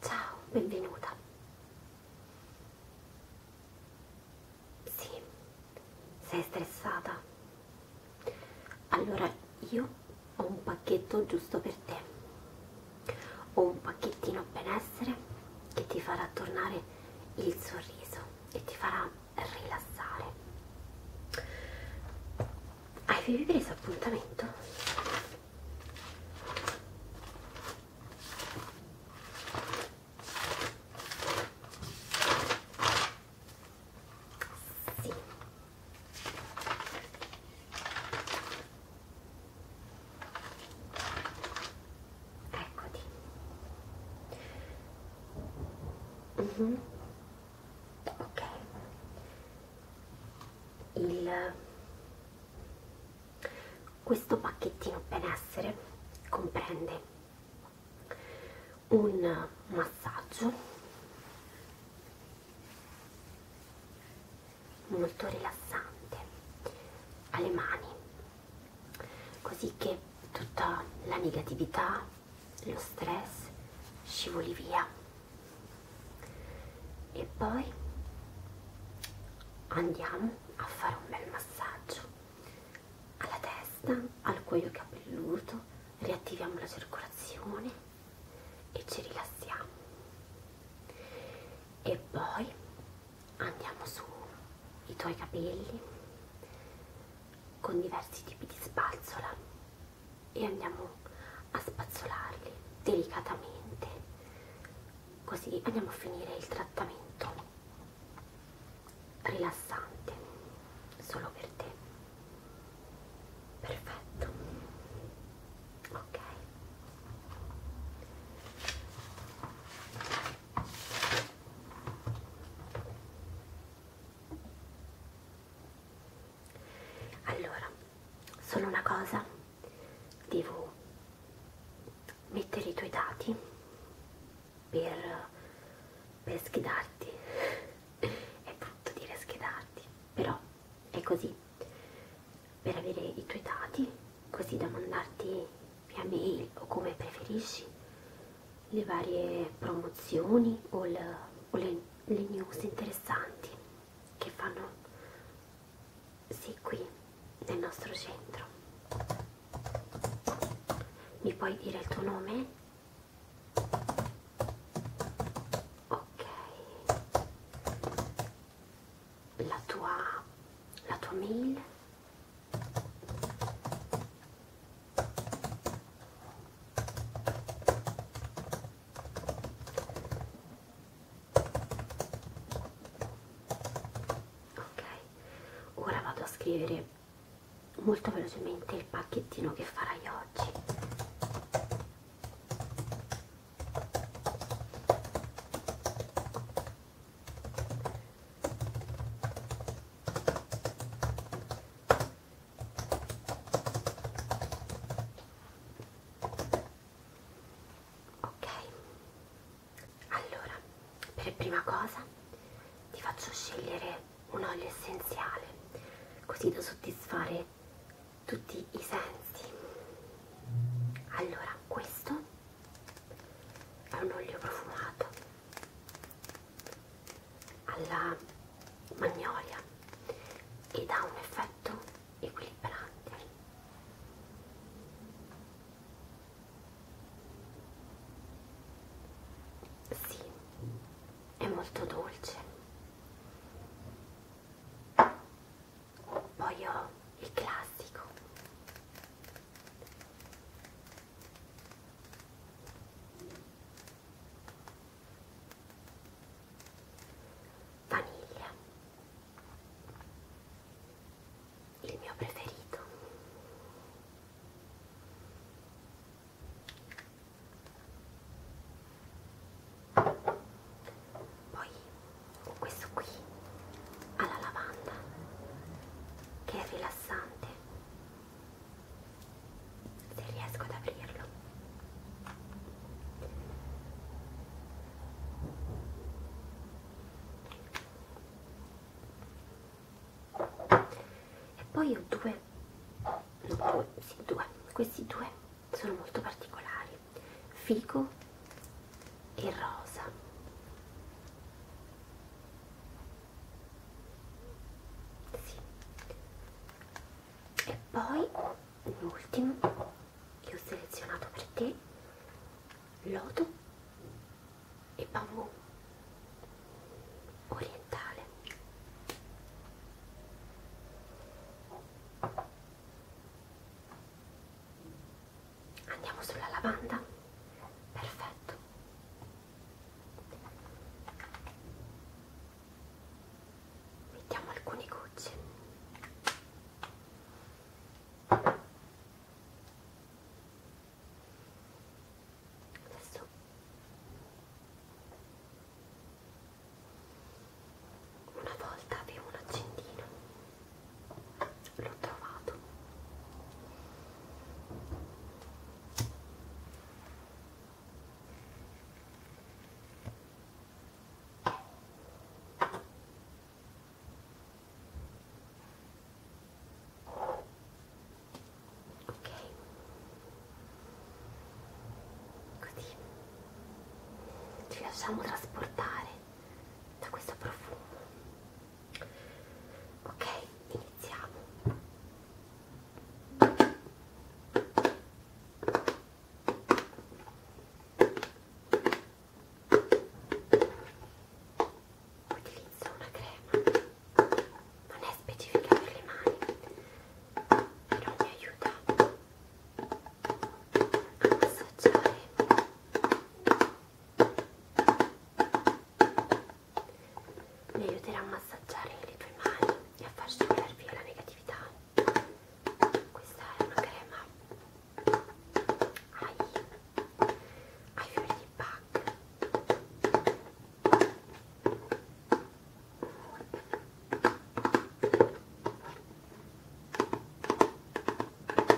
Ciao, benvenuta. Sì, sei stressata? Allora io ho un pacchetto giusto per te. Ho un pacchettino benessere che ti farà tornare il sorriso e ti farà rilassare. Avevi preso appuntamento? Sì. Eccoti. Mm -hmm. Ok. Il, questo pacchettino benessere comprende un massaggio molto rilassante alle mani così che tutta la negatività lo stress scivoli via e poi andiamo a fare un bel massaggio alla testa al cuoio capelluto riattiviamo la circolazione e ci rilassiamo e poi andiamo sui tuoi capelli con diversi tipi di spazzola e andiamo a spazzolarli delicatamente così andiamo a finire il trattamento rilassante solo per te perfetto ok ok allora solo una cosa devo mettere i tuoi dati per, per schedarti è brutto dire schedarti però è così per avere i tuoi dati così da mandarti via mail o come preferisci le varie promozioni o, il, o le, le news interessanti che fanno sì qui nel nostro centro mi puoi dire il tuo nome? ok la tua, la tua mail ok ora vado a scrivere molto velocemente il pacchettino che farai oggi Ok, allora per prima cosa ti faccio scegliere un olio essenziale così da soddisfare tutti i sensi. Allora, questo è un olio profumato alla magnolia ed ha un effetto equilibrante sì, è molto dolce poi ho il classico vaniglia il mio preferito poi questo qui alla lavanda che è rilassante se riesco ad aprirlo e poi ho due, no, due, sì, due questi due sono molto particolari fico e rosa. Sì. E poi l'ultimo che ho selezionato per te, lodo e bambù orientale. Andiamo sulla lavanda. Perfetto. Mettiamo alcuni gocci. Adesso una volta avevo un accendino l'ho trovato ok così ci lasciamo trasportare da questo profumo ok iniziamo utilizzo una crema non è specifica per le mani però mi aiuta assaggiare mi aiuterà a massaggiare le tue mani e a far scivolare via la negatività questa è una crema ai, ai fiori di Bach Ecco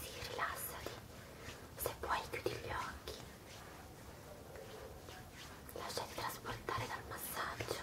Sì, rilassati. Se puoi chiudi gli occhi. Lasciati trasportare dal massaggio.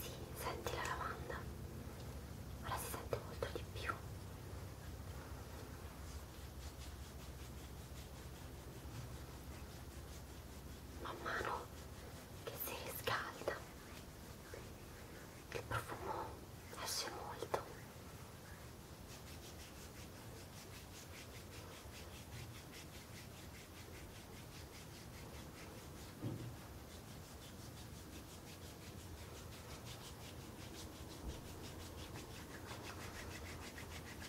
Sì, senti la lavanda. Ora si sente molto di più man mano che si riscalda il profumo esce molto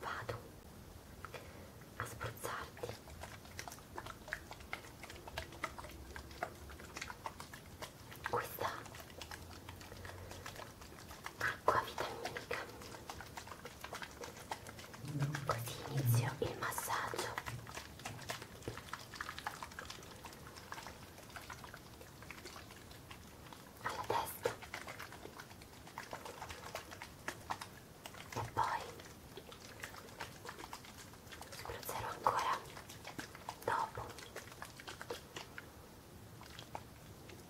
Vado a spruzzarti. Questa acqua vitaminica così inizio il massaggio alla testa e poi spruzzerò ancora dopo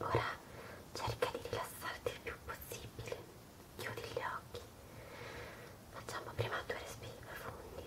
Ora cerca di rilassarti il più possibile, chiudi gli occhi, facciamo prima due respiri profondi.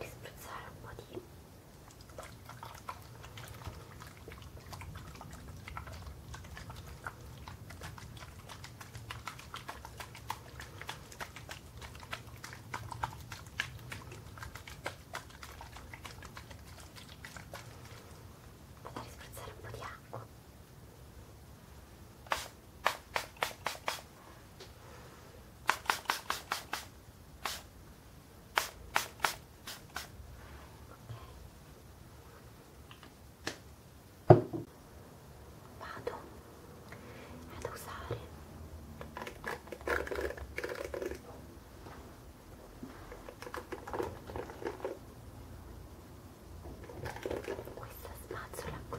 e spruzzare un po' di Potete spruzzare un po' di acqua vado ad usare questa spazzola qui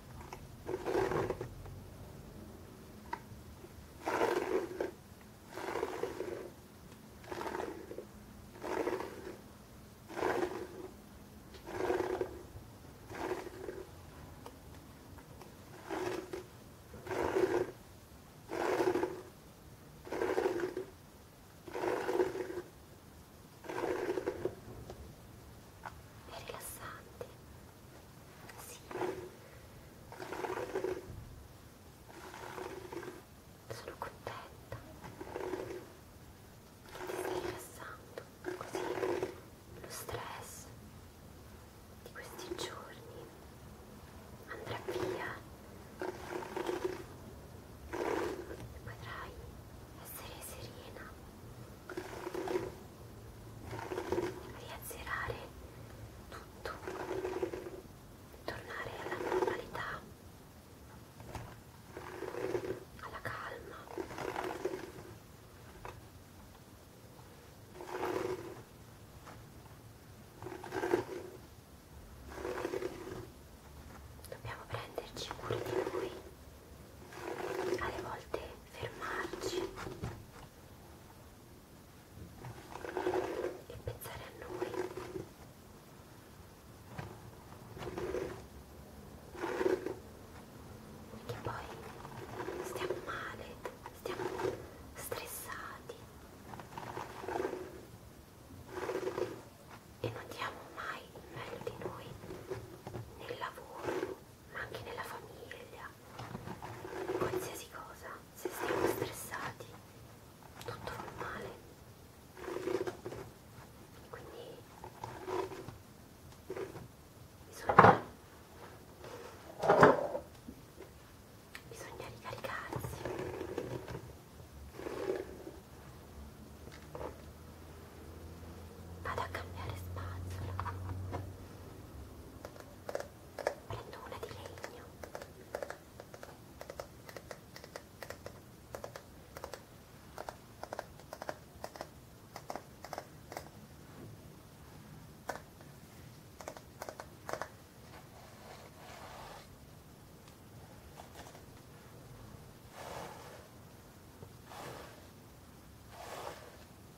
è rilassante sì. Sono contenta che ti stai rilassando così lo stress di questi giorni andrà via e potrai essere serena riazzerare tutto, tornare alla normalità, alla calma. Dobbiamo prenderci cura di noi, alle volte fermarci e pensare a noi perché poi stiamo male, stiamo stressati e non diamo mai il meglio di noi nel lavoro ma anche nella famiglia, in qualsiasi cosa, se stiamo stressati, tutto va male. Quindi bisogna, bisogna ricaricarsi vado a cambiare spazzola prendo una di legno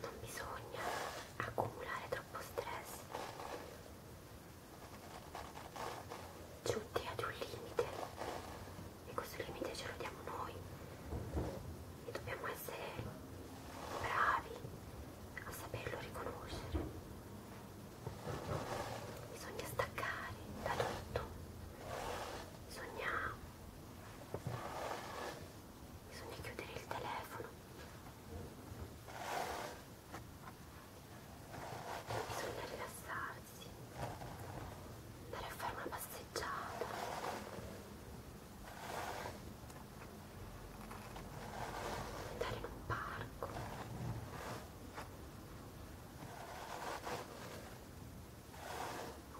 Non bisogna accumulare troppo stress giunti ad un limite e questo limite ce lo diamo noi e dobbiamo essere bravi a saperlo riconoscere bisogna staccare da tutto bisogna bisogna chiudere il telefono bisogna rilassarsi, andare a fare una passeggiata. Andare in un parco.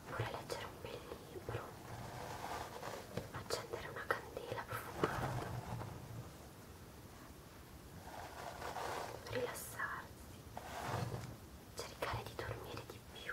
Oppure leggere un bel libro. Accendere una candela profumata rilassarsi, cercare di dormire di più.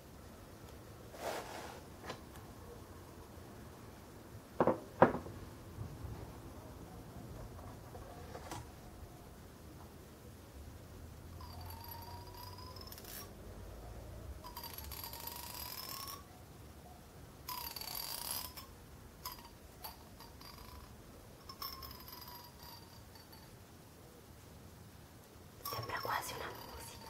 Sembra quasi una musica.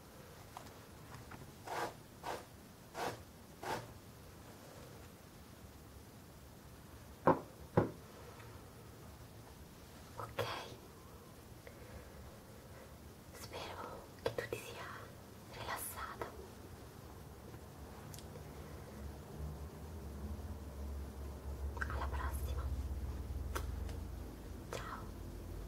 Ok, spero che tu ti sia rilassata. Alla prossima. Ciao.